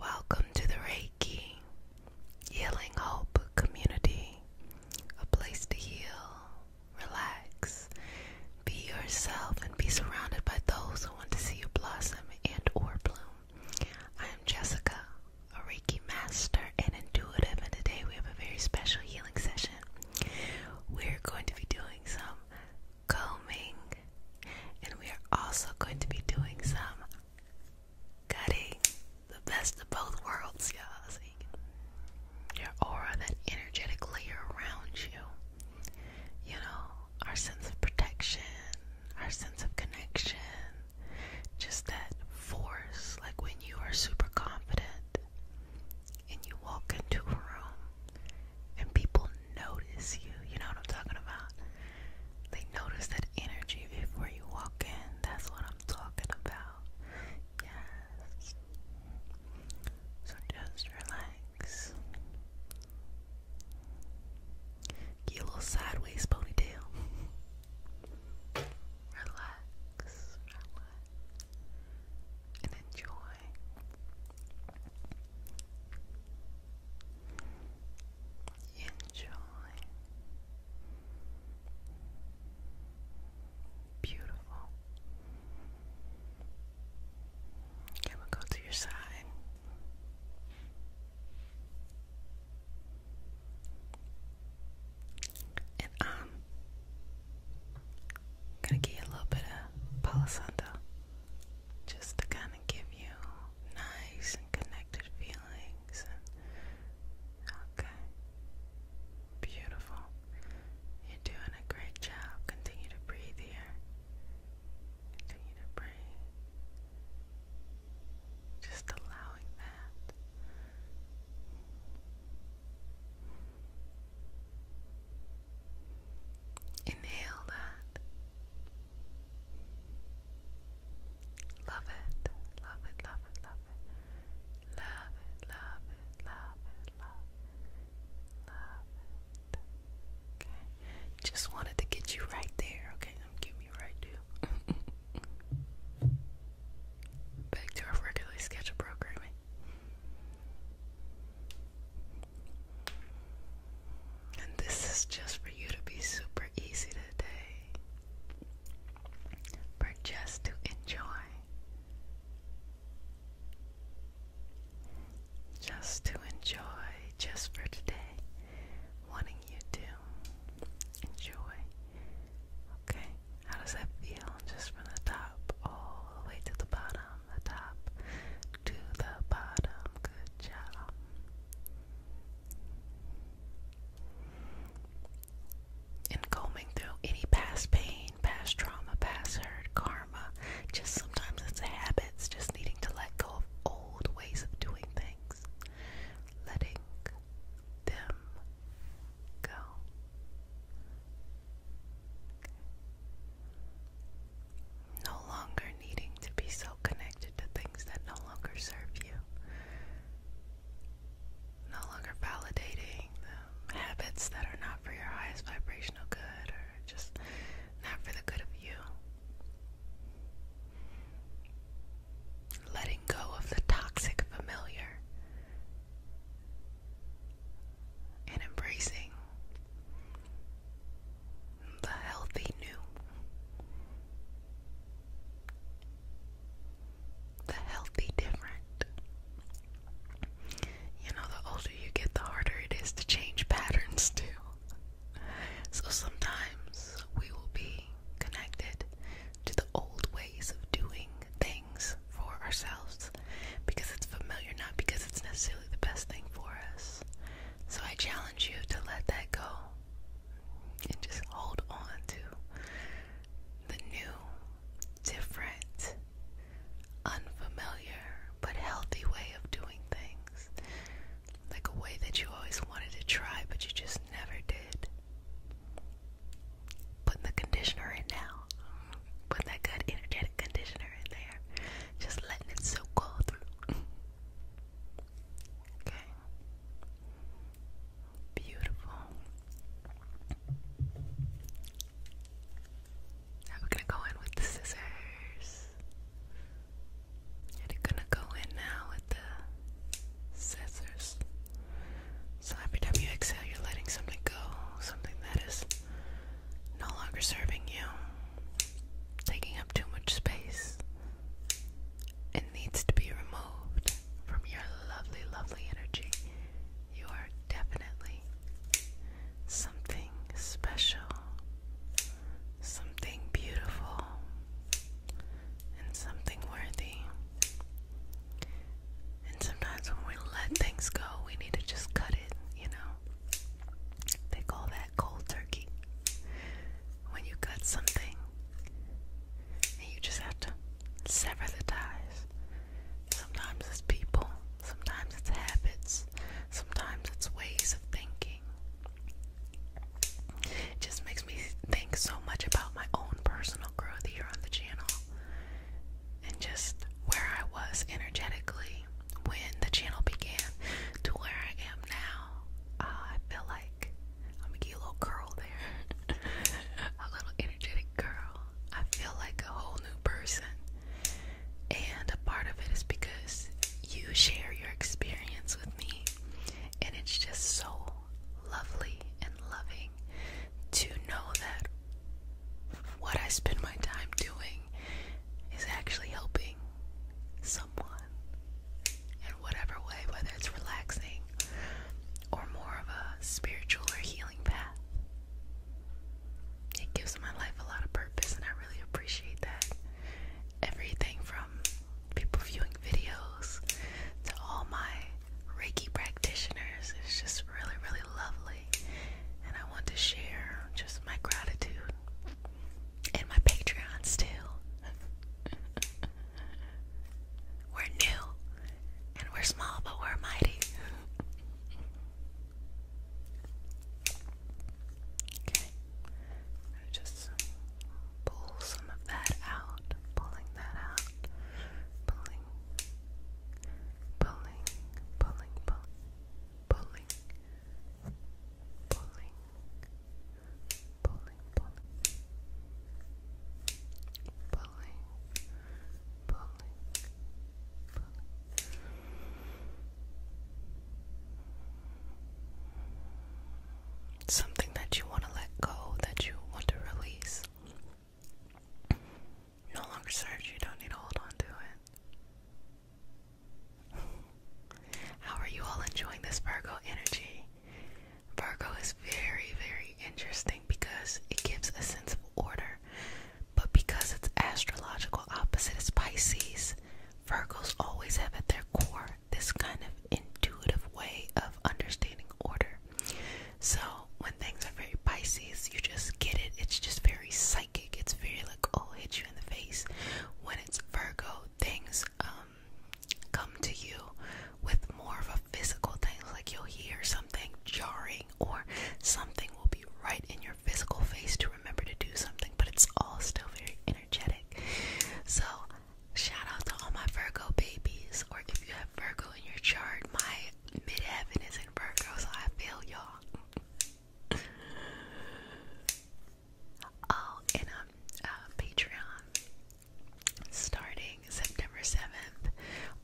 Welcome to the Reiki Healing Hope Community, a place to heal, relax, be yourself, and be surrounded by those who want to see you blossom and or bloom. I am Jessica, a Reiki master, Planner and Intuitive, and today we have a very special healing session. We're going to be doing some combing, and we are also going to be doing some cutting. The best of both worlds, y'all. you can, your aura, that energetic layer around you. You know, our sense of protection, our sense of connection, just that force, like when you are super confident and you walk into a room and people notice you. You know what I'm talking about? They notice that energy before you walk in. That's what I'm talking about. Yes. So just relax. Get a little sideways ponytail relax, relax, and enjoy. Enjoy. Beautiful. Okay, we'll go to your side. And um, I'm gonna get a little bit of Palo just to kind of give you nice and connected feelings. And, okay, beautiful. You're doing a great job. Continue to breathe here. Continue to breathe. Just allowing that. Inhale that. Love it, love it, love it, love it. Love it, love it, love it, love it. Okay. Just wanted to get you right there, okay? I'm right there. back to our regularly scheduled programming. And this is just for you to be super easy today, for just to enjoy, just to enjoy, just for today, wanting you to enjoy Okay, how does that feel? Just from the top all the way to the bottom, the top to the bottom. Good job. And combing through any past pain, past trauma, past hurt, karma, just sometimes it's habits, just needing to let go of old ways of doing things, letting them go. No longer needing to be so connected to things that no longer serve you. No longer validating the habits that are not for your highest vibrational good or just not for the good of you. Letting go of the toxic familiar and embracing the healthy new. The healthy different. You know, the older you get, the harder it is to change patterns, too. So sometimes we will be connected to the old ways of doing things for ourselves because it's familiar, not because it's necessarily the best thing for us. So I challenge you to let that go and just hold on to the new, different, unfamiliar, but healthy way of doing things. Like a way that you always wanted to try, but you just never did putting the conditioner in now. Putting that good energetic conditioner in there. Just letting it soak all through. okay. Beautiful. we're gonna go in with the scissors. And are gonna go in now with the scissors. So every time you exhale, you're letting something go, something that is no longer serving you, taking up too much space. and needs to be removed from your lovely, lovely energy. You are definitely something special, something beautiful, and something worthy. And sometimes when we let things go, we need to just cut it, you know? They call that cold turkey. When you cut something, you just have to sever the ties. Sometimes it's people, sometimes it's habits, sometimes it's ways of thinking. It just makes me think so much about my own personal growth here on the channel and just where I was energetically when the channel began to where I am now. Uh, I feel like I'm gonna get a little curl there, a little energetic curl. I feel like a whole new person, and a part of it is because you share your experience with me, and it's just so lovely and loving to know that what I spend my time doing is actually helping someone in whatever way, whether it's relaxing or more of a spiritual or healing path. It gives my life a lot of purpose, and I really appreciate that. Everything from people viewing videos to all my Reiki practitioners is just really, really lovely, and I want to share just my gratitude and my Patreon still. we're new, and we're small, but we're mighty. Okay, I'm just pull some of that out, pulling that out, pulling, pulling, pulling, pulling pulling, pulling, pulling, pulling, pulling, pulling, pulling. Something that you want to let go, that you want to release no longer serves you, don't need to hold on to it. How are you all enjoying this Virgo energy? Virgo is very, very interesting because it gives a sense of order, but because its astrological opposite is Pisces, Virgos always have at their core this kind of intuitive way of understanding order. So, when things are very Pisces, you just get it. It's just very very psychic. It's very like, oh, hit you in the face. When it's Virgo, things um come to you with more of a physical thing. Like you'll hear something jarring or something will be right in your physical face to remember to do something, but it's all still very energetic. So shout out to all my Virgo babies, or if you have Virgo in your chart, my midheaven is in Virgo, so I feel y'all oh, and um, uh, Patreon starting September 7th.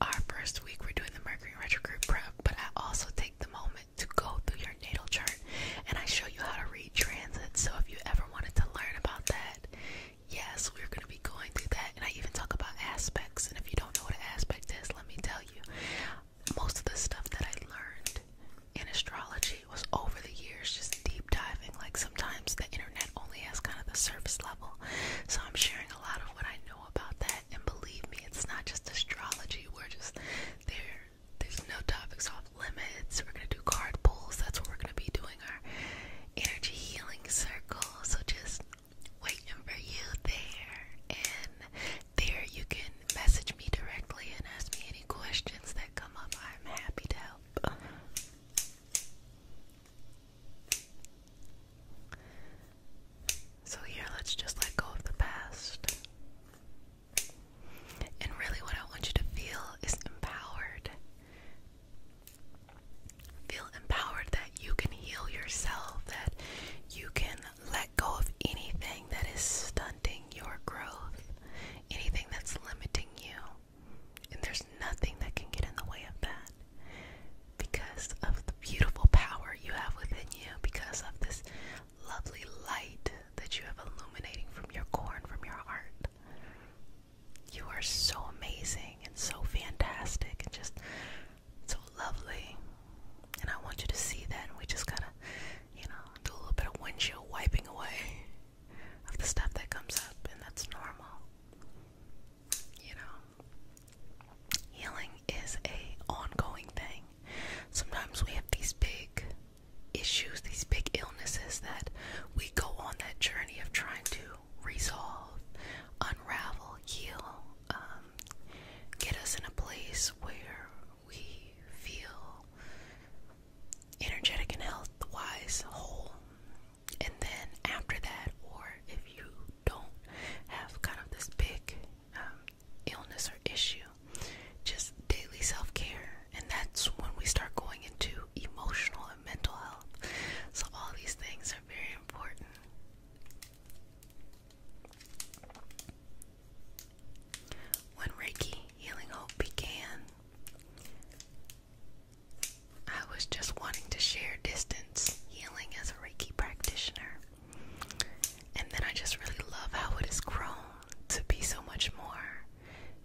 Our first week, we're doing the Mercury retrograde prep, but I also take the moment to go through your natal chart and I show you how to read transit. So if you ever wanted to learn about that, yes, we're going to be going through that. And I even talk about aspects. And if you don't know what an aspect is, let me tell you most of the stuff that I learned in astrology was over the years, just deep diving. Like sometimes the internet only has kind of the surface level. So I'm sharing a lot of what I know about that. And believe me, it's not just astrology. We're just there. There's no topics off limits. We're gonna do card pulls. That's what we're gonna be doing our energy healing circle. So just waiting for you there there you can message me directly and ask me any questions that come up. I'm happy to help. So, here, let's just let go of the past. And really, what I want you to feel is empowered. Feel empowered that you can heal yourself, that you can let go of anything that is stunting your growth, anything that's limiting you. And there's nothing that can get in the way of that because of the beautiful power you have within you, because of this lovely light that you have illuminating from your core from your heart. You are so amazing and so fantastic and just so lovely. And I want you to see that. And we just gotta, you know, do a little bit of windshield wiping away of the stuff that comes up, and that's normal. You know, healing is a ongoing thing. Sometimes we have these big issues, these big illnesses that we go on that journey of trying to resolve, unravel, heal, um, get us in a place where we feel energetic and health wise whole. And then after that, or if you don't have kind of this big um, illness or issue, just daily self care. And that's when we start going into emotional and mental health. So, all these things are very important. When Reiki Healing Hope began, I was just wanting to share distance healing as a Reiki practitioner. And then I just really love how it has grown to be so much more.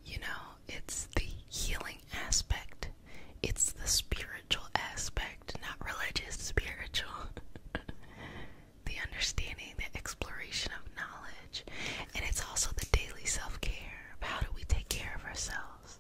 You know, it's the healing aspect, it's the spiritual aspect, not religious, spiritual. the understanding, the exploration of knowledge, and it's also the daily self care. How do we take care of ourselves?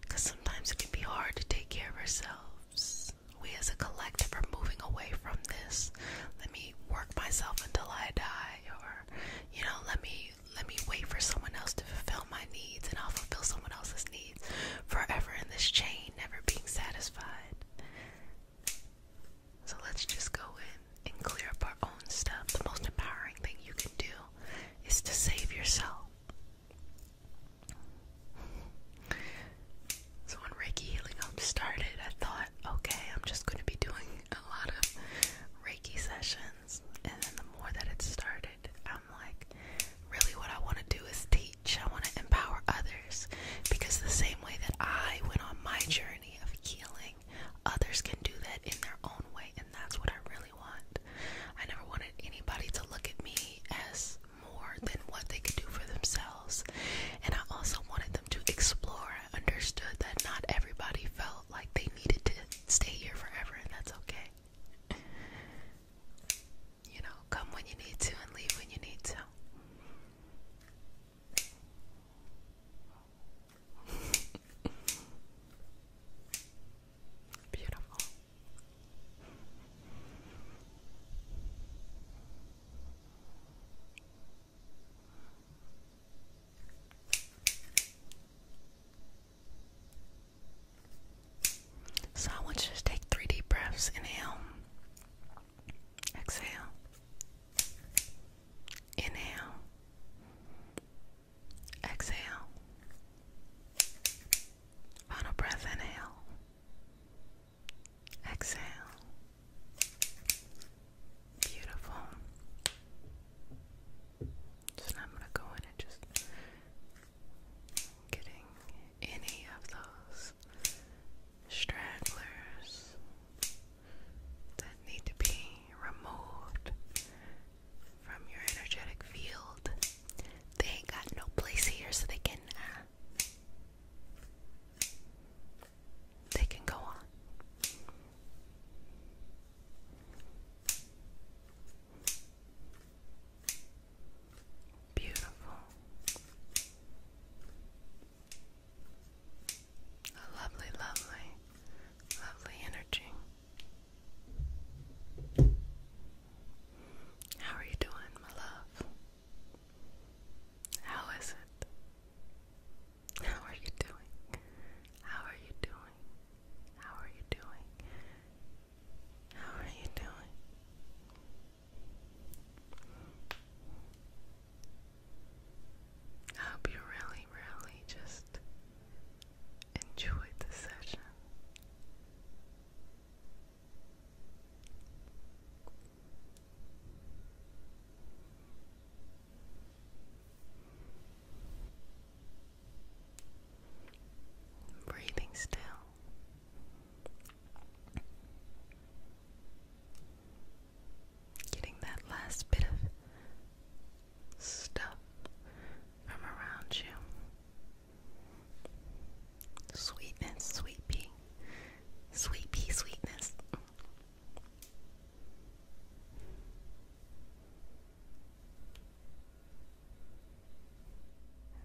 Because sometimes it can be hard to take care of ourselves. We as a collective are moving away from this. Let me work myself until I die, or you know, let me let me wait for someone else to fulfill my needs, and I'll fulfill someone else's needs forever in this chain, never being satisfied. So let's just go in and clear up our own stuff. The most empowering thing you can do is to save yourself. So when Reiki Healing Home started, I thought, okay, I'm just going to be doing a lot of Reiki sessions. And then the more that it started, I'm like, really what I want to do is teach. I want to empower others because the same way that I went on my journey of healing, others can do that in their own way, and that's what I really want. I never wanted anybody to look at me as more than what they could do for themselves, and I also wanted them to explore. I understood that not everybody felt like they needed to stay here forever, and that's okay. You know, come when you need to and leave when you need to. Beautiful. So I want you to take three deep breaths. Inhale. Exhale. Inhale. Exhale. Final breath, inhale. Exhale. Beautiful. So now I'm going to go in and just getting any of those stragglers that need to be removed from your energetic field. They ain't got no place here, so they can uh, they can go on. Beautiful. A lovely, lovely, lovely energy. How are you doing, my love? How is it? How are you doing? How are you doing? How are you doing? How are you doing? I hope you really, really just enjoyed the session. Breathing still. Getting that last bit of stuff from around you. Sweetness, sweet pea. sweetness.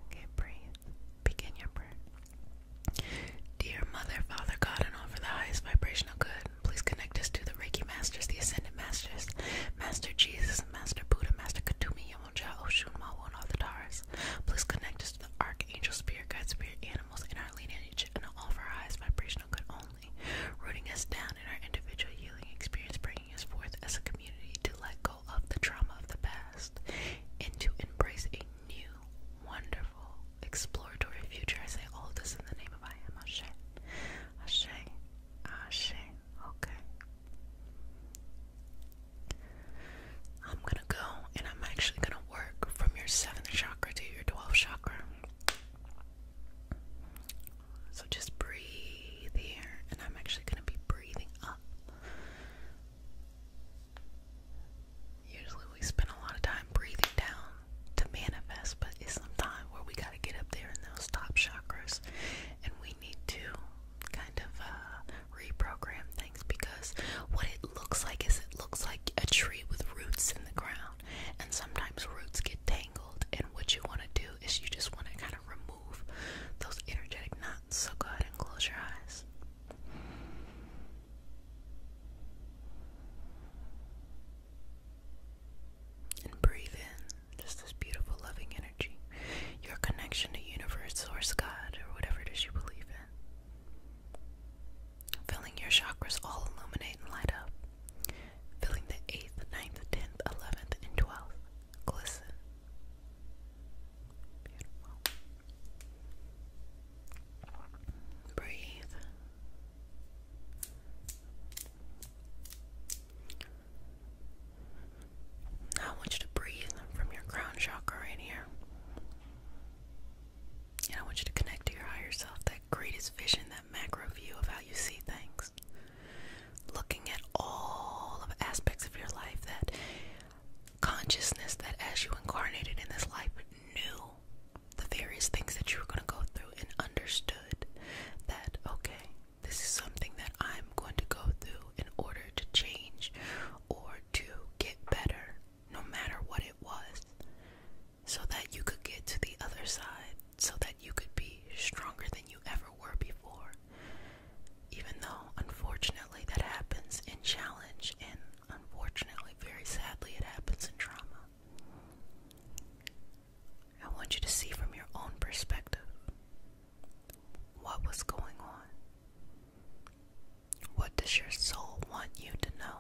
Okay, breathe. Begin your breath. Dear Mother, Father, God, and all for the highest vibrational good, please connect us to the Reiki Masters, the Ascended Masters, Master Jesus, Master Buddha, Master Katumi, Yamonja, Oshun, Mawu, and all the Tars. Please connect us to the Archangel, Spirit Guides, Spirit Animals, in our lineage, and all for our highest vibrational good only, rooting us down in our individual healing experience, bringing us forth as a community to let go of the trauma of the past and to embrace a new, wonderful, exploratory future. I say all this in the name of I am Ashe. Ashe. Ashe. Okay. I'm gonna go and I'm actually gonna work from your seventh chakra to your twelfth chakra. So just breathe here, and I'm actually gonna be breathing up Usually we spend a lot of time breathing down to manifest, but it's sometimes where we gotta get up there in those top chakras and we need to kind of uh, reprogram things because what it looks like is it looks like a tree with roots in the ground, and sometimes roots get tangled. And what you want to do is you just want to kind of remove those energetic knots. So go ahead and close your eyes. And breathe in just this beautiful, loving energy. Your connection to universe, source, God, or whatever it is you believe in. Feeling your chakras all illuminate and light up. Feeling the 8th, 9th, 10th, 11th, and 12th glisten. Beautiful. Breathe. Now I want you to breathe from your crown chakra right here. I want you to connect to your higher self, that greatest vision, that macro view of how you see things. Looking at all of aspects of your life, that consciousness that as you incarnated in this life knew the various things that you were going to go through and understood that, okay, this is something that I'm going to go through in order to change or to get better, no matter what it was, so that you could get to the other side, so that you could be stronger than you ever were before. Even though, unfortunately, that happens in challenge and Unfortunately, very sadly, it happens in trauma. I want you to see from your own perspective what was going on. What does your soul want you to know?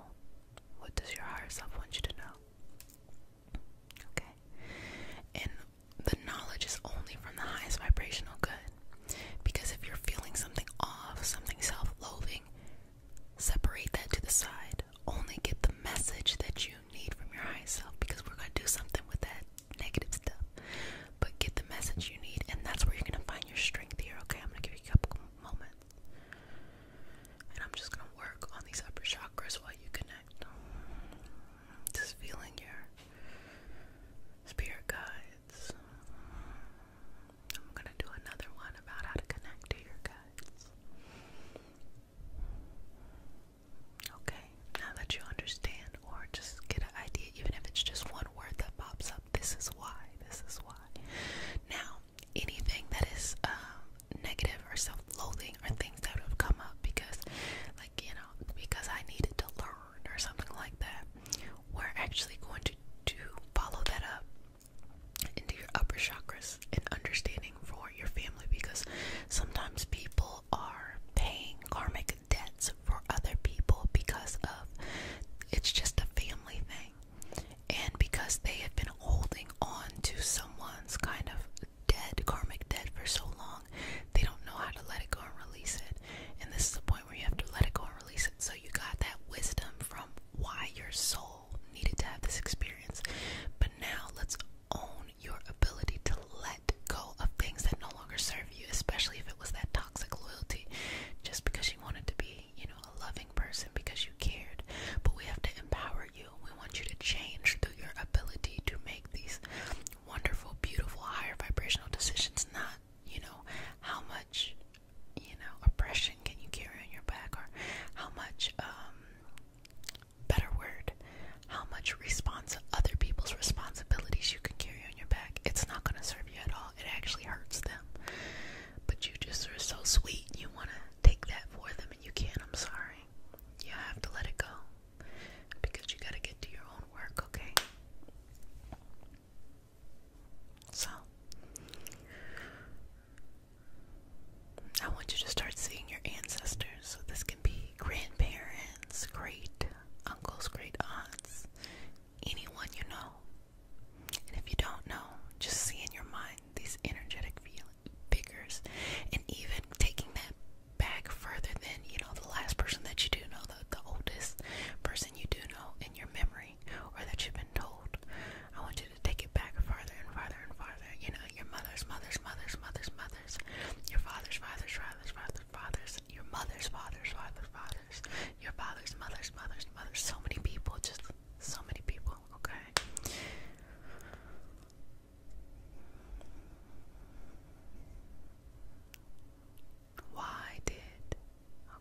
What does your higher self want you to know? Okay. And the knowledge is only from the highest vibrational good. Because if you're feeling something off, something self loathing, Separate that to the side. Only get the message that you need from your higher self because we're going to do something with that negative stuff. But get the message you need, and that's where you're going to find your strength here, okay? I'm going to give you a couple moments. And I'm just going to work on these upper chakras while you connect. Just feeling your spirit guides, I'm gonna do another one about how to connect to your guts. Okay, now that you understand, or just get an idea, even if it's just one word that pops up, this is why, this is why. Now, anything that is um, negative or self loathing are things that have come up because, like, you know, because I needed to learn or something like that, we're actually going to, to follow that up into your upper chakras and understanding for your family because sometimes people are paying karmic debts for other people because of it's just a family thing and because they have been holding on to someone's kind of dead karmic debt for so long they don't know how to let it go and release it and this is the point where you have to let it go and release it so you got that wisdom from why your soul all needed to have this experience. But now let's own your ability to let go of things that no longer serve you, especially if it was that toxic loyalty. Just because you wanted to be, you know, a loving person because you cared. But we have to empower you. We want you to change through your ability to make these wonderful, beautiful, higher vibrational decisions, not, you know, how much you know oppression can you carry on your back or how much um better word how much response other people's responsibilities you can carry on your back it's not going to serve you at all it actually hurts them but you just are so sweet you want to take that for them and you can't i'm sorry you have to let it go because you got to get to your own work okay so I want you to start seeing your ancestors. So, this can be grandparents, great uncles, great aunts, anyone you know. And if you don't know, just see in your mind these energetic figures. And even taking that back further than, you know, the last person that you do know, the, oldest person you do know in your memory or that you've been told. I want you you to take it back farther and farther and farther. You know, your mother's mother's mother's mother's mother's, your father's father's father's father's father's, your mother's father's father's father's, your father's mother's mother's mother's. So many people, just so many people. Okay. Why did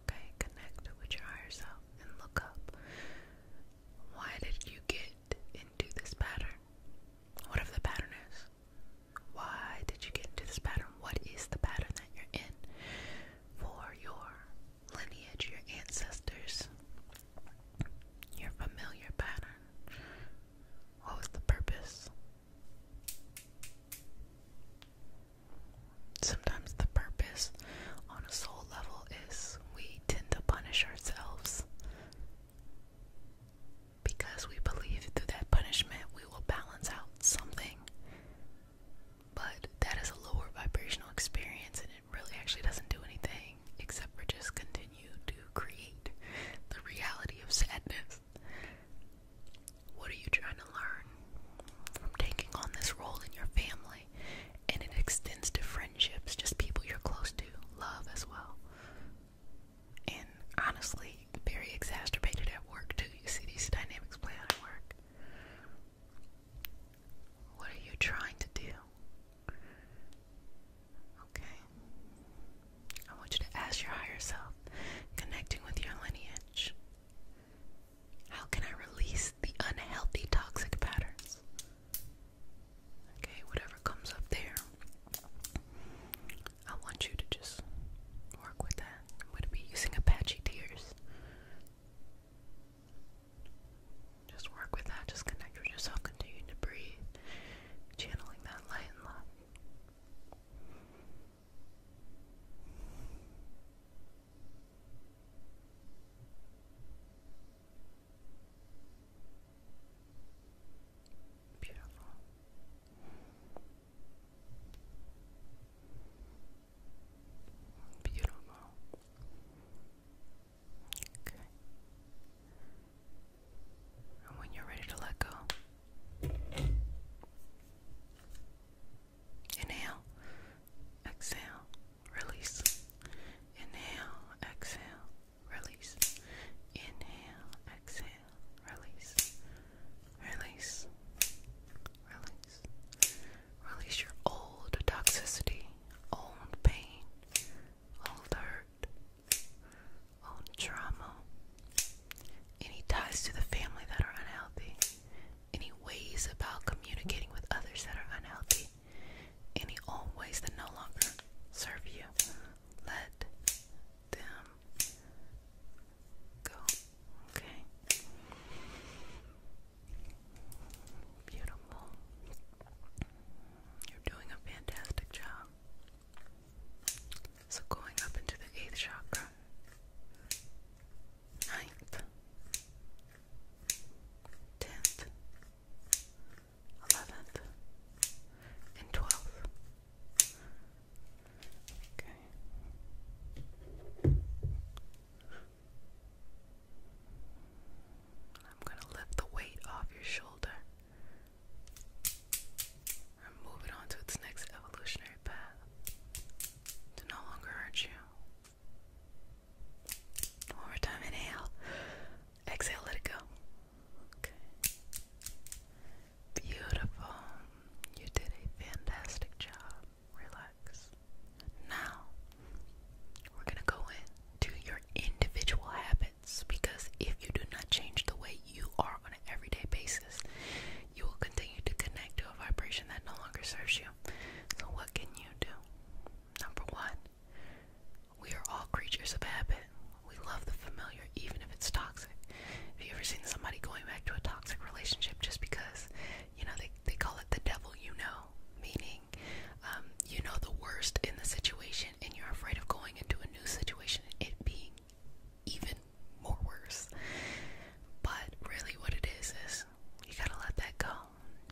okay connect with your higher self and look up why did you get into this pattern? What Whatever the pattern is. Why did you get into this pattern? What is the pattern that you're in for your lineage, your ancestors, your familiar pattern? What was the purpose? Sometimes the purpose on a soul level is we tend to punish ourselves because we believe through that punishment we will balance out something. But that is a lower vibrational experience, and it really actually doesn't do anything except for just continue to create the reality of sadness. What are you trying to learn from taking on this role in your family? And it extends to friendships, just people you're close to, love as well. And honestly, very exacerbated at work too. You see these dynamics play out at work. What are you trying to do? Okay. I want you to ask your higher self, connecting with your lineage. How can I release the unhealthy toxic patterns. Okay, whatever comes up there, I want you to just work with that. I'm going to be using Apache Tears. Just work with that, just connect with yourself, continue to breathe, channeling that light and love. Beautiful. Beautiful. Okay. And when you're ready to let go, inhale, exhale release. Inhale, exhale, release. Inhale, exhale, release. Release. Release. Release your old toxicity, old pain, old hurt, old trauma. Any ties to the family that are unhealthy. Any ways about communicating with others that are unhealthy any old ways that no longer serve you. Let them go. Okay. Beautiful. You're doing a fantastic job. So going up into the eighth chakra, ninth, tenth, 11th, and 12th. Okay. I'm going to lift the weight off your shoulder and move it on its next evolutionary path to no longer hurt you one more time, inhale. Exhale, let it go. Okay. Beautiful. You did a fantastic job. Relax. Now, we're going to go into your individual habits because if you do not change the way you are on an everyday basis, you will continue to connect to a vibration that no longer serves you. So, what can you do? Number one, we are all creatures of habit. We love the familiar even if it's toxic. Have you ever seen somebody going back to a toxic relationship just because, you know, they, they call it the devil you know? Meaning, um, you know the worst in the situation and you're afraid of going into a new situation and it being even more worse. But really, what it is is you gotta let that go.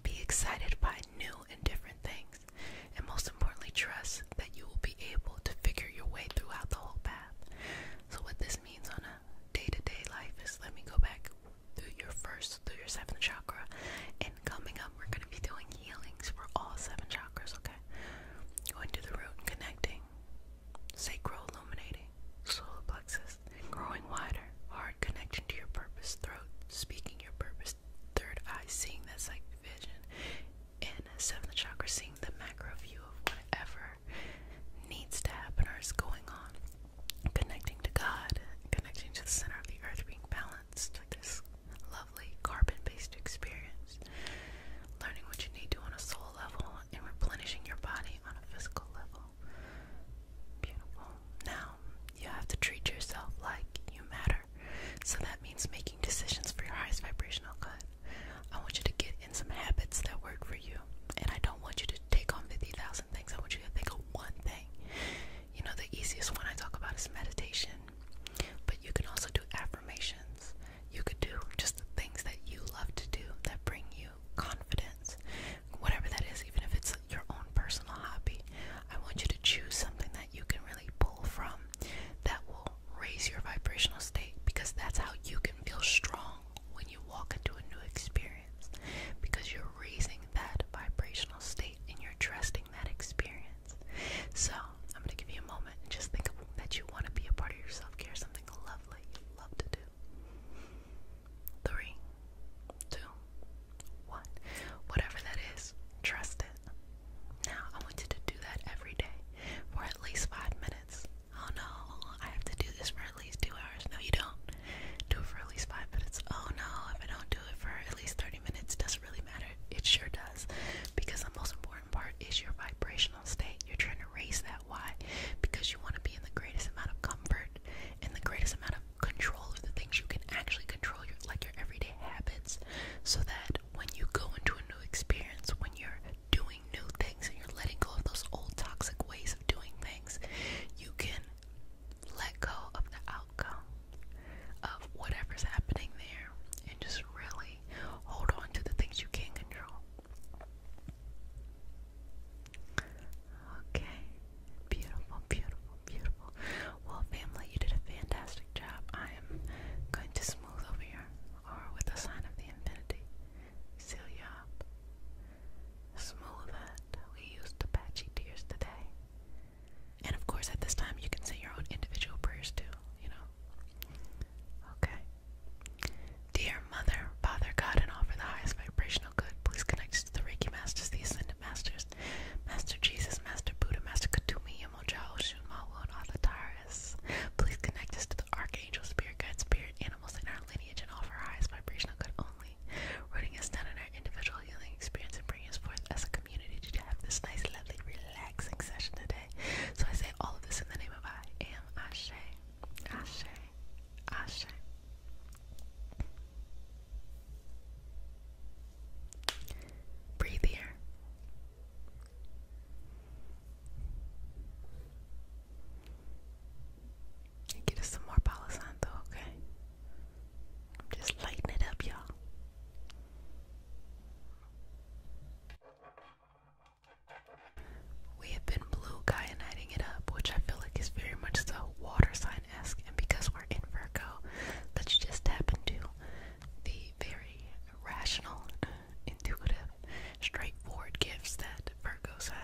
Be excited by new and different things, and most importantly, trust that you will be able to figure your way throughout the whole path. So, what this means on a day to day life is let me go back through your first, through your seventh chakra, and coming up, we're going to be doing healings for all seven chakras, okay? Going to the root and connecting, sacral illuminating, solar plexus, and growing wider, heart connection to your purpose, throat, speaking your purpose third eye seeing that psychic vision, and seventh chakra seeing the macro view of whatever needs to happen or is going on, connecting to God, connecting to the center of the earth, being balanced, this lovely carbon-based experience, learning what you need to on a soul level, and replenishing your body on a physical level. Beautiful. Now, you have to treat yourself like you matter. So that means making decisions for your highest vibrational good. I want you to get in some habits that work for you. And I don't want you to take on 50,000 things. I want you to think of one thing. You know, the easiest one I talk about is meditation. But you can also do affirmations. You could do just the things that you love to do that bring you confidence. Whatever that is, even if it's your own personal hobby. I want you to choose something that you can really pull from that will raise your vibrational state because that's how you can feel strong when you walk into a new experience because you're raising that vibrational state and you're trusting that experience. So, I'm going to give you a moment and just think of that you want to be a part of your self care, something lovely you love to do. Three, two, one. Whatever that is, trust it. Now, I want you to do that every day for at least five minutes. Oh no, I have to do this for at least two hours. No, you don't. Do it for at least five minutes. Oh no, if I don't do it for at least 30 minutes, it doesn't really matter. It sure does. Because the most important part is your vibrational state. You're trying to raise that. Why? Because you want to be in the greatest amount of comfort and the greatest amount of control of the things you can actually control, your like your everyday habits, so that when you go into a new experience, when you're doing new things and you're letting go of those old toxic ways of doing things, you can let go of the outcome of whatever's happening there and just really hold on to the things you can control. Okay, beautiful, beautiful beautiful. Well, family, you did a fantastic job. I am going to smooth over your or with the sign of the infinity. Seal Smooth it. We used Apache tears today. And of course, at this time, you can say your own individual prayers too, you know? Okay. Dear Mother, Father, God, and all for the highest vibrational good, please connect to the Reiki Masters, the Ascended transcendent masters, Master Jesus, Master Buddha, Master Katumi, Yamoja, Oshun, Mawu, and all the Taurus. Please connect us to the Archangel, Spirit Guide, Spirit Animals in our lineage, and offer highest vibrational good only, rooting us down in our individual healing experience and bringing us forth as a community to have this nice, lovely, relaxing session today. So I say all of this in the name of I am Ashe, Ashe, Ashe. Breathe here. get us some more Palo Santo, okay? just lighting it up, y'all. We have been blue guy it up, which I feel like is very much so water sign esque, and because we're in Virgo, let just tap into the very rational, intuitive, straightforward gifts that Virgos have.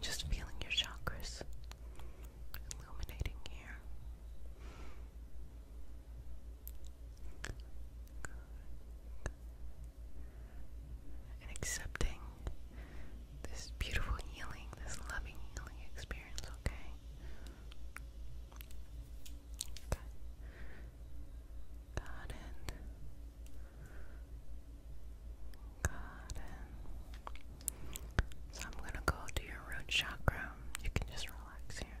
just feeling your chakras illuminating here and accepting this beautiful healing, this loving healing experience, okay? Okay. Got it. Got it. So I'm gonna go to your root chakra. You can just relax here.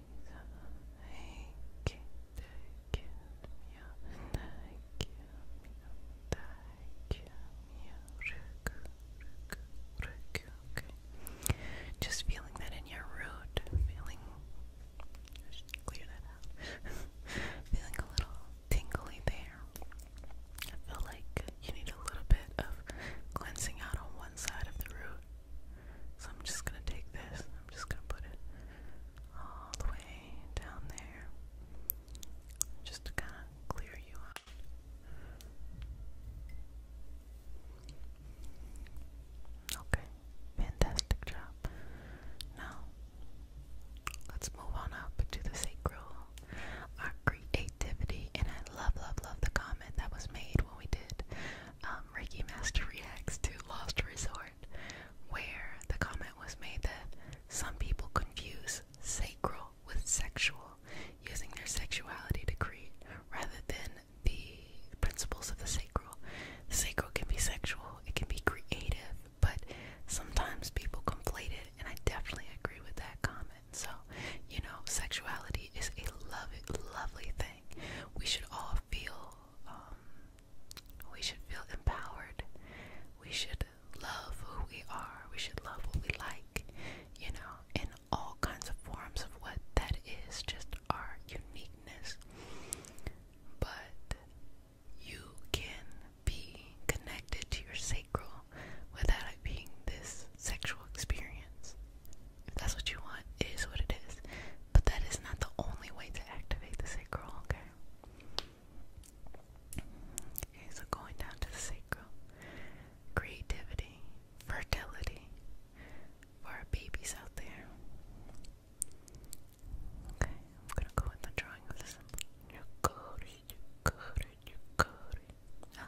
Just feeling that in your root, feeling. feeling a little tingly there. I feel like you need a little bit of cleansing out on one side of the root so I'm just gonna take this, I'm just gonna put it all the way down there just to kind of clear you out. Okay, fantastic job. Now, let's move on up to the sacral, our creativity, and I love, love, love the comment that was made when we did um, Reiki Master reacts to Lost Resort, where the comment was made that some people confuse sacral with sexual, using their sexuality to create rather than the principles of the sacral. The sacral can be sexual, it can be creative, but sometimes people conflate it, and I definitely agree with that comment. So, you know, sexuality is a lovely, lovely thing. We should all feel um, we should feel empowered. We should love who we are. We should love what we like, you know, in all kinds of forms of what that is, just our uniqueness. But you can be connected to your sacral without it being this sexual experience. If that's what you want, is what it is. But that is not the only way to activate the sacral, okay? Okay, so going down to the sacral. Creativity, fertility for our babies out there. Okay, I'm gonna go with the drawing of this. Your ah,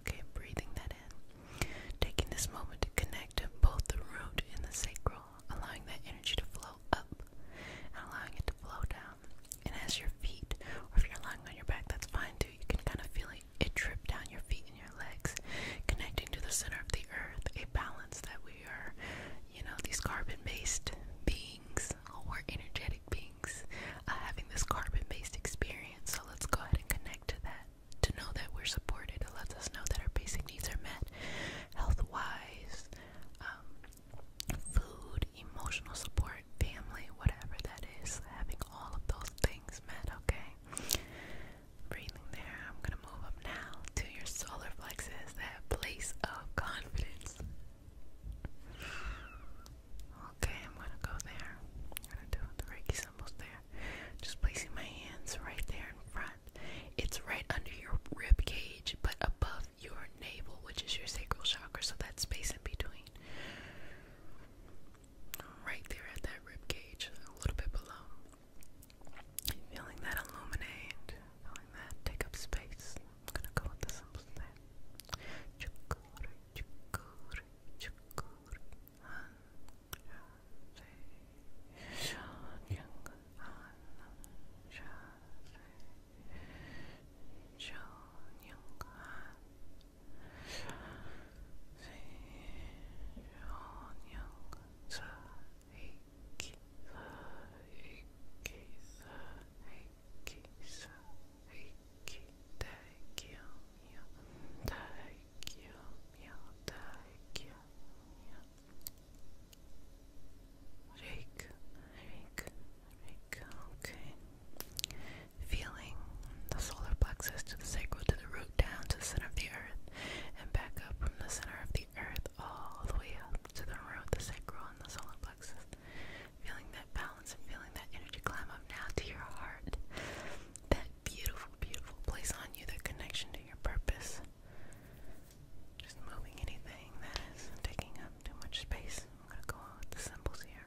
Okay, breathing that in. Taking this moment to connect both the root and the sacral, allowing that energy to flow up and allowing it to flow down. And as your feet, or if you're lying on your back, that's fine too. You can kind of feel it, it drip down your feet your legs, connecting to the center of the earth, a balance that we are, you know, these carbon based beings, or energetic beings, uh, having this carbon based experience. So let's go ahead and connect to that. To know that we're supported, it lets us know that our basic needs are met health wise, um, food, emotional support, family, whatever that is, having all of those things met, okay? breathing there. I'm gonna move up now to your solar plexus, that place of confidence. Okay, I'm gonna go there. I'm gonna do the Reiki symbols there. Just placing my hands right there in front. It's right under your rib cage, but above your navel, which is your sacral chakra, so that space in between. Right there at that rib cage, a little bit below. Feeling that illuminate, feeling that take up space. I'm gonna go with the simple thing. Chukuri, chukuri, chukuri. Hey, Rake, rake, rake, okay. Feeling the solar plexus to the sacral, to the root, down to the center of the earth, and back up from the center of the earth all the way up to the root, the sacral, and the solar plexus. Feeling that balance and feeling that energy climb up now to your heart. That beautiful, beautiful place on you, that connection to your purpose. Just moving anything that is taking up too much space. I'm going to go with the symbols here.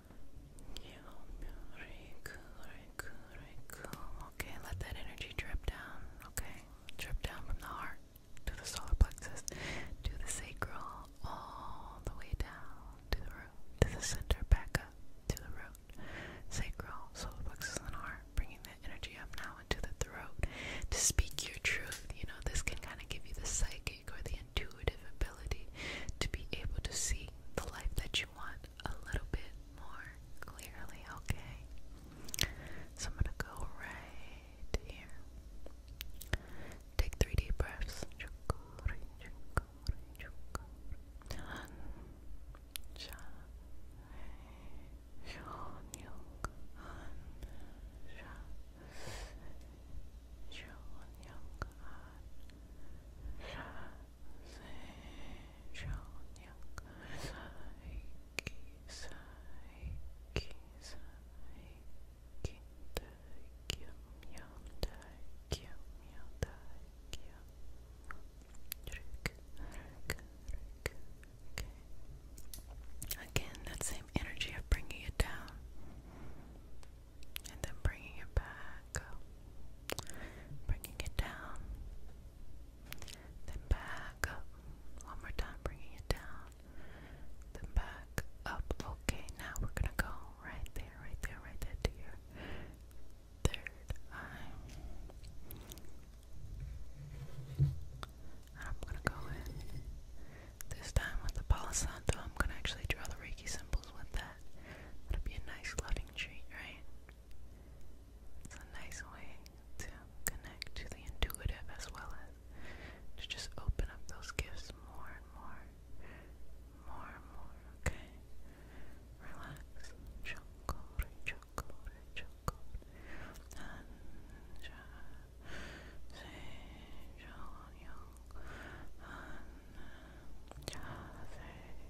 Okay, let that energy drip down. Okay, drip down from the heart to the solar plexus, to the sacral, all the way down to the to the center, back up to the root, sacral, solar plexus, and heart. Bringing that energy up now into the throat to speak your truth. You know, this can kind of give you the psychic or the intuitive ability to be able to see the life that you want a little bit more clearly, okay? So I'm gonna go right here. Take three deep breaths. Again, that same energy of bringing it down and then bringing it back Bringing it down. Then back up. One more time, bringing it down. Then back up. Okay, now we're gonna go right there, right there, right there to your third eye. I'm gonna go in this time with the Palo I'm gonna actually draw the Reiki symbols with that. that would be a nice loving treat, right? It's a nice way to connect to the intuitive as well as to just open up those gifts more and more. More and more, okay? Relax. Chocolate, chocolate, chocolate. And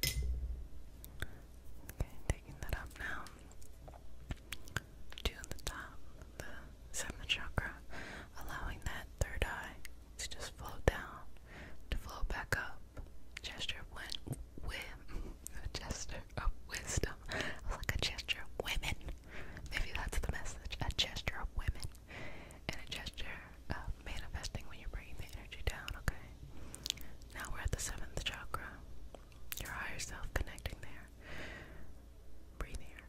Okay, taking that up now to the top, the seventh chakra, allowing that third eye to just float down, to float back up. Gesture of win, win, a gesture of wisdom. I was like a gesture of women. Maybe that's the message. A gesture of women and a gesture manifesting when you're bringing the energy down, okay? Now we're at the seventh chakra. Your higher self connecting there. Breathe here.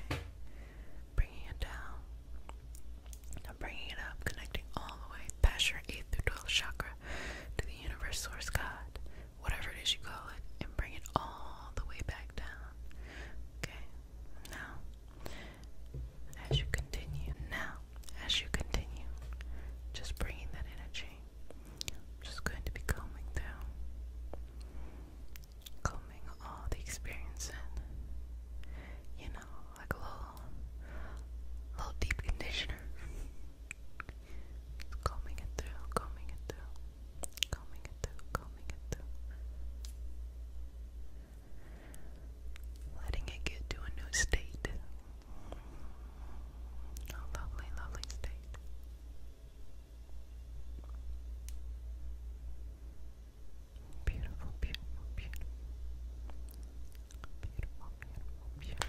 Okay, bringing it down. Now bringing it up, connecting all the way past your 8th through 12th chakra to the universe source God whatever it is you call it, and bring it all the way back down. Okay, now, as you continue, now, as you continue, just bringing that energy, just going to be calming down, calming all the experience you know, like a little, little deep conditioner combing it through, combing it through, combing it through, combing it through, letting it get to a new state. A lovely, lovely state. Beautiful, beautiful, beautiful. Beautiful, beautiful,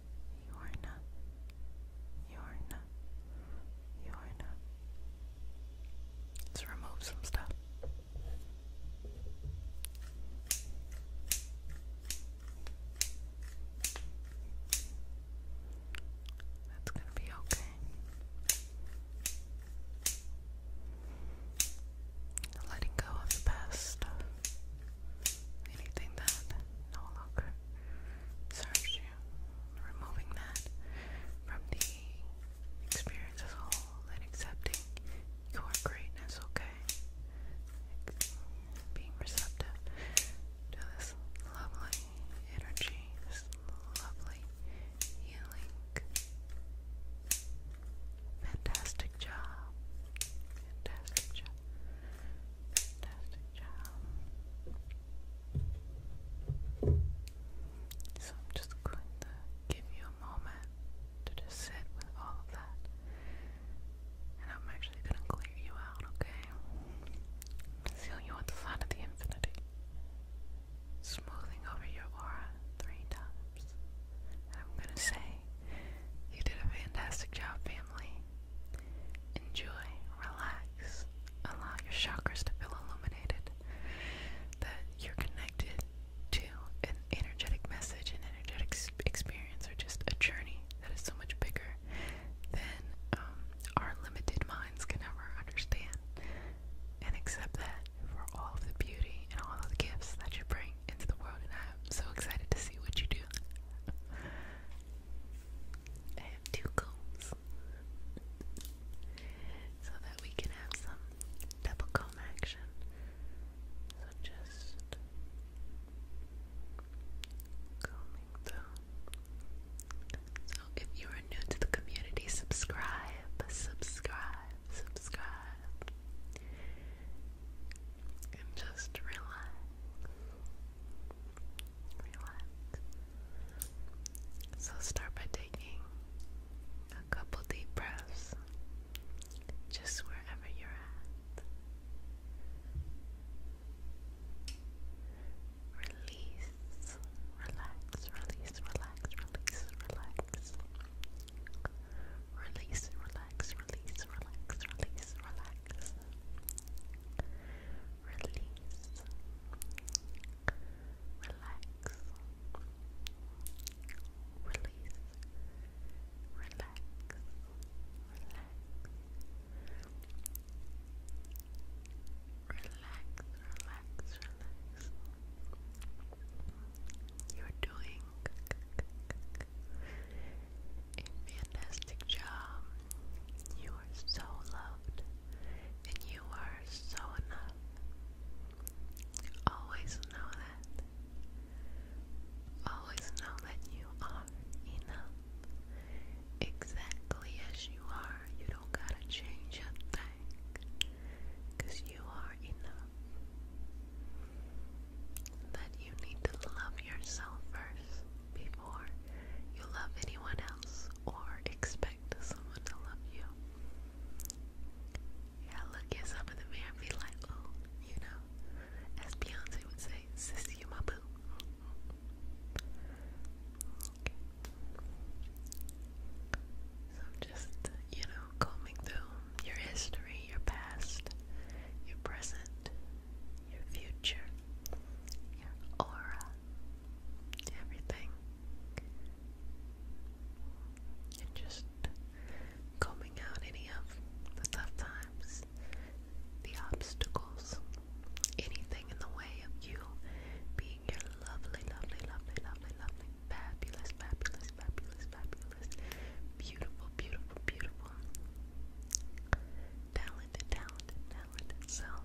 Yorna, Yorna, Yorna. Let's remove some stuff. That's gonna be okay. Letting go of the past anything that no longer serves you. Removing that from the experience as a whole and accepting your greatness, okay? Being receptive to this lovely energy, lovely healing. Fantastic job. Fantastic job. So I'm just going to give you a moment to just sit with all of that. And I'm actually going to clear you out, okay? Seal you with the sign of the infinity. Smoothing over your aura three times. And I'm going to say you did a fantastic job, family. Enjoy, relax, allow your chakras to feel illuminated, that you're connected to an energetic message, an energetic experience, or just a journey that is so much bigger than um, our limited minds can ever understand. And accept that for all of the beauty and all of the gifts that you bring into the world, and I'm so excited to see what you do. I have two combs so that we can have some double comb action. So just combing through. So if you are new to the community, subscribe, subscribe, subscribe and just relax. Relax. So start by taking a couple deep breaths just wherever you're at. Release, relax, release, relax, release, relax. Release, relax, release, relax, release, relax. Release. Relax. Release. Relax. Relax. Relax, relax, relax. You're doing a fantastic job. You are so loved and you are so enough. Always know that. Always know that you are enough. Exactly as you are. You don't gotta change a thing. you are enough. That you need to love yourself first before you love anyone else or expect someone to love you. Yeah, look yourself in the mirror and be like, oh, you know, as Beyonce would say, sis, you my boo. So just, you know, combing through your history, your past, your present, your future, your aura, everything. And just combing out any of the tough times, the obstacles, anything in the way of you being your lovely, lovely, lovely, lovely, lovely, fabulous, fabulous, fabulous, fabulous, beautiful, beautiful, beautiful Talented, talented, talented self,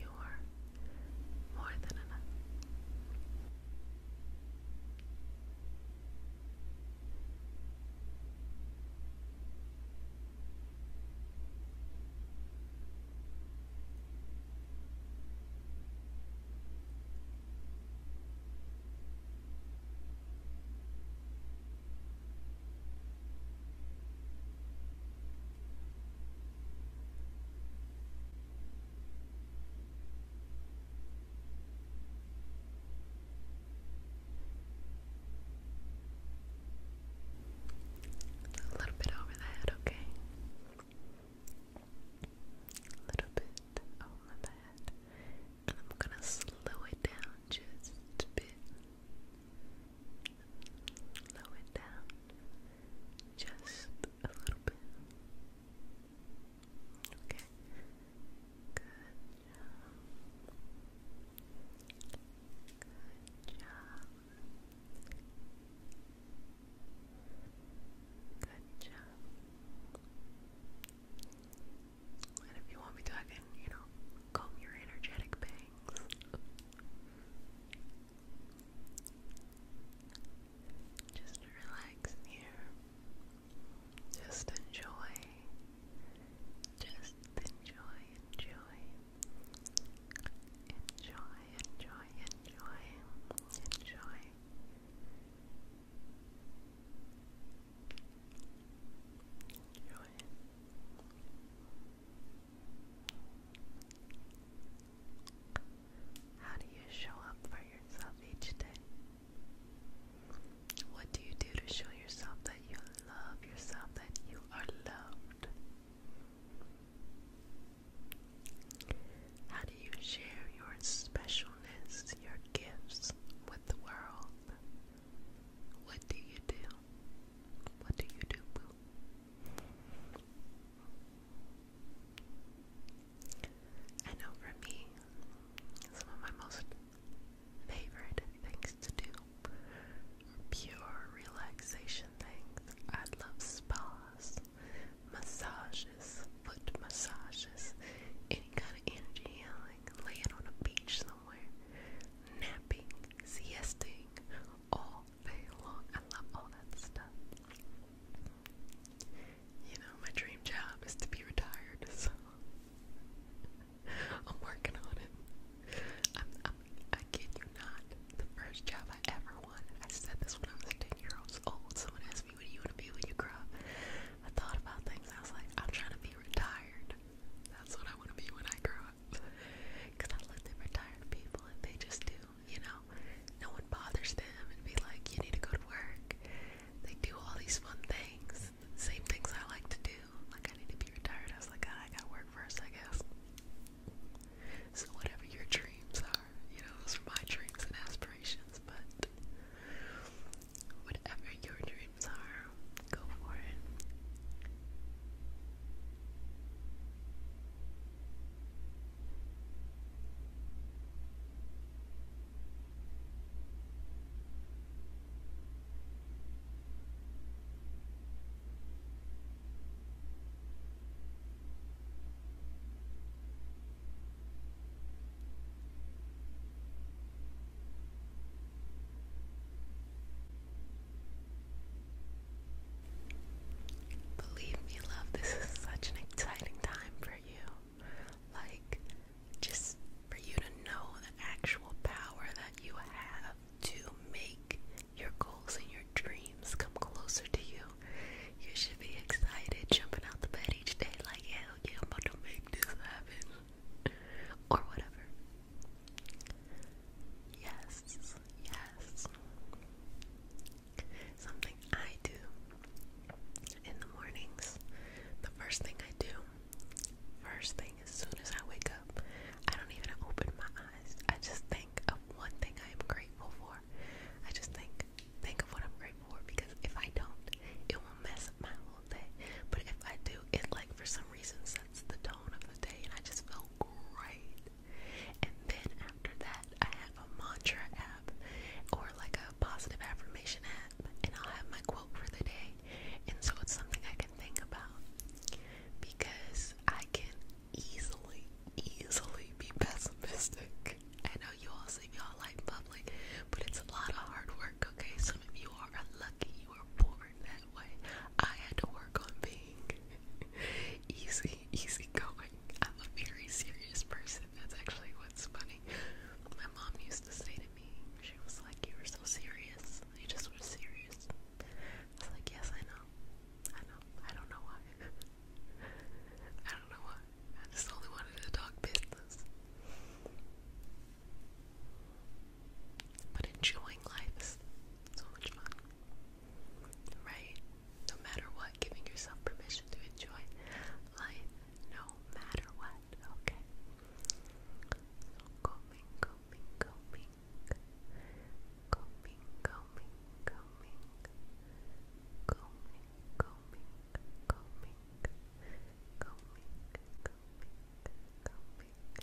you are more than enough. A little bit over the head, okay? A little bit over the head. And I'm gonna slow it down just a bit. Slow it down just a little bit. Okay. Good job. Good job. Good job. And if you want me to, I can, you know, comb your energetic bangs. Just relax here. Just enjoy. Just enjoy, enjoy. Enjoy, enjoy, enjoy, enjoy. How do you show up for yourself each day? What do you do to show yourself that you love yourself, that you are loved? How do you share your specialness, your gifts with the world? What do you do? What do you do, I know for me, some of my most favorite things to do pure relaxation things. I love spas, massages, foot massages, any kind of energy healing, laying on a beach napping, siesting all day long. I love all that stuff. You know, my dream job is to be retired, so I'm working on it. i kid you not, the first job I ever wanted, I said this when I was 10 years old. Someone asked me, What do you want to be when you grow up? I thought about things, I was like, I'm trying to be retired. That's what I want to be when I grow up. Cause I looked at retired people and they just do, you know, no one bothers them and be like, you need to go to work. They do all these fun things, same things I like to do. Like I need to be retired. I was like, God, I gotta work first, I guess. So whatever your dreams are, you know, those are my dreams and aspirations, but whatever your dreams are, Go for it. Believe me, love, this is such an exciting time for you. Like, just for you to know the actual power that you have to make your goals and your dreams come closer to you. You should be excited, jumping out the bed each day, like, hell yeah, I'm about to make this happen. Or whatever. Yes, yes. Something I do in the mornings. The first thing I do, first thing as soon as I wake up, I don't even open my eyes. I just think of one thing I am grateful for. I just think, think of what I'm grateful for because if I don't, it will mess my whole day. But if I do, it like for some reason sets the tone of the day, and I just feel great. And then after that, I have a mantra app or like a positive affirmation app, and I'll have my quote for the day. And so it's something I can think about because I can easily, easily be pessimistic. I know you all say y'all like public, but it's a lot of hard work, okay? Some of you are lucky you were born that way. I had to work on being easy, easy going. I'm a very serious person. That's actually what's funny. My mom used to say to me, she was like, You were so serious. You just were serious. I was like, Yes, I know. I know. I don't know why. I don't know why. I just only wanted to talk business. But enjoying life is so much fun. Right? No matter what, giving yourself permission to enjoy life no matter what. Okay. So combing, combing, combing. Combing, combing, combing. Combing, combing, combing.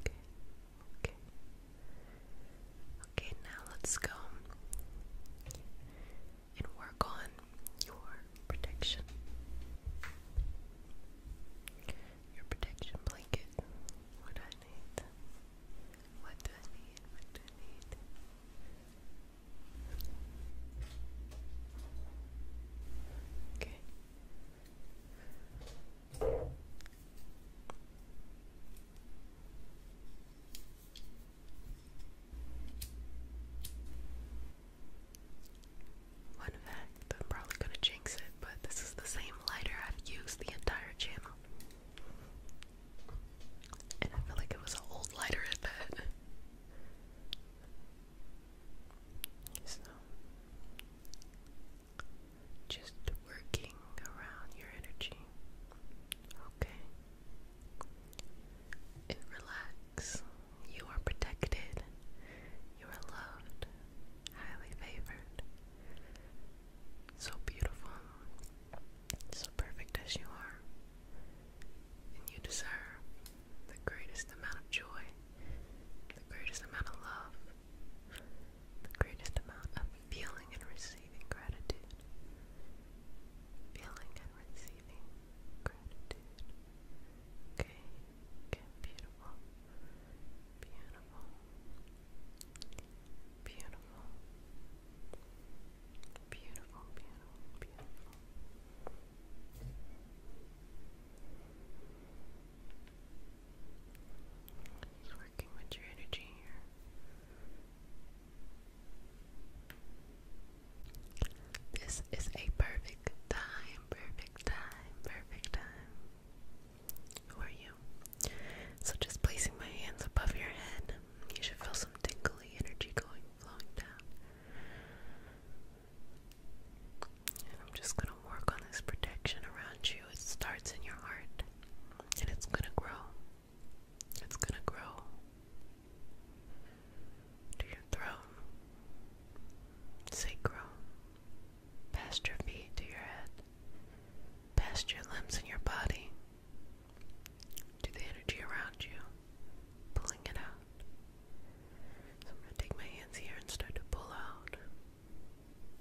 Okay, okay. Okay, now let's go and work on your protection. Your protection blanket. What do I need? What do I need? What do I need? Okay. One fact, I'm probably gonna jinx it, but this is the same lighter I've used the entire channel. And I feel like it was an old lighter at that. Just working around your energy. Okay. And relax. You are protected. You are loved. Highly favored. So beautiful. So perfect as you are. And you deserve the greatest amount of joy, the greatest amount of love, the greatest amount of feeling and receiving gratitude. Feeling and receiving gratitude. Okay, okay, beautiful. Beautiful. Beautiful. Beautiful, beautiful, beautiful. It's working with your energy here. This is a perfect time, perfect time, perfect time. Who you? So just placing my hands above your head, you should feel some tingly energy going flowing down. And I'm just gonna work on this protection around you, it starts in your heart and it's going to grow. It's going to grow to your throne, sacrum, past your feet to your head, past your limbs and your body, to the energy around you, pulling it out. So I'm going to take my hands here and start to pull out.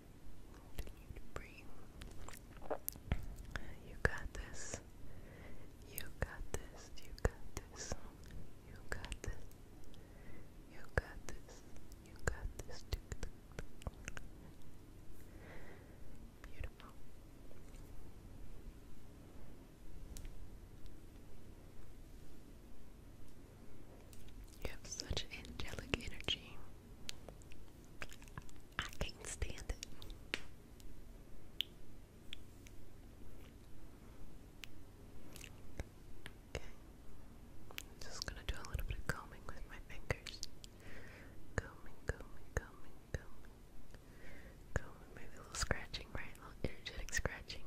Continue You got this. You got this. You got this. You got this. You got this. You got this. Beautiful. You have such angelic energy. I can't stand it. Okay. just gonna do a little bit of combing with my fingers. Combing, combing, combing, combing. Combing, maybe a little scratching, right? A little energetic scratching.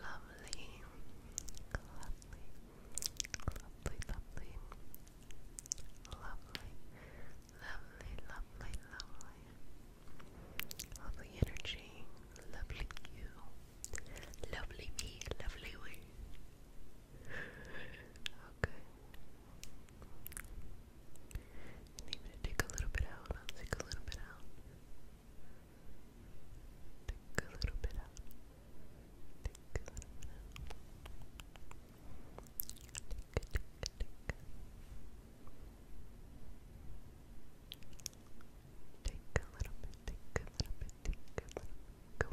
Lovely, lovely, lovely, lovely, lovely, lovely, lovely, lovely, lovely energy, lovely you, lovely me, lovely we. Okay. And to take a little bit out, I'll take a little bit out. Take a little bit Take a little bit Take, take, a little bit, take a little bit, take a little bit. go, go, go, go.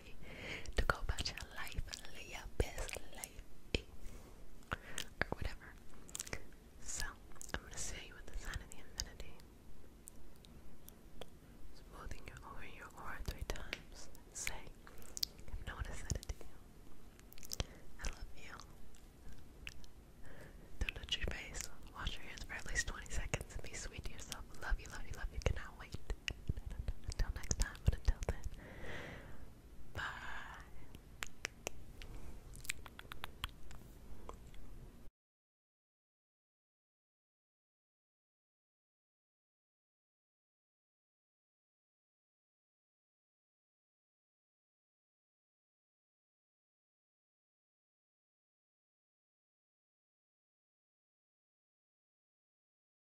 to go about your life live your best life or whatever. So, I'm going to seal you with the sign of the infinity. Smoothing your aura, your aura three times. Say, if no one has said you, I love you. Don't touch your face. Wash your hands for at least 20 seconds and be sweet to yourself. Love you, love you, love you. Good night cannot wait until next time, but until then, bye.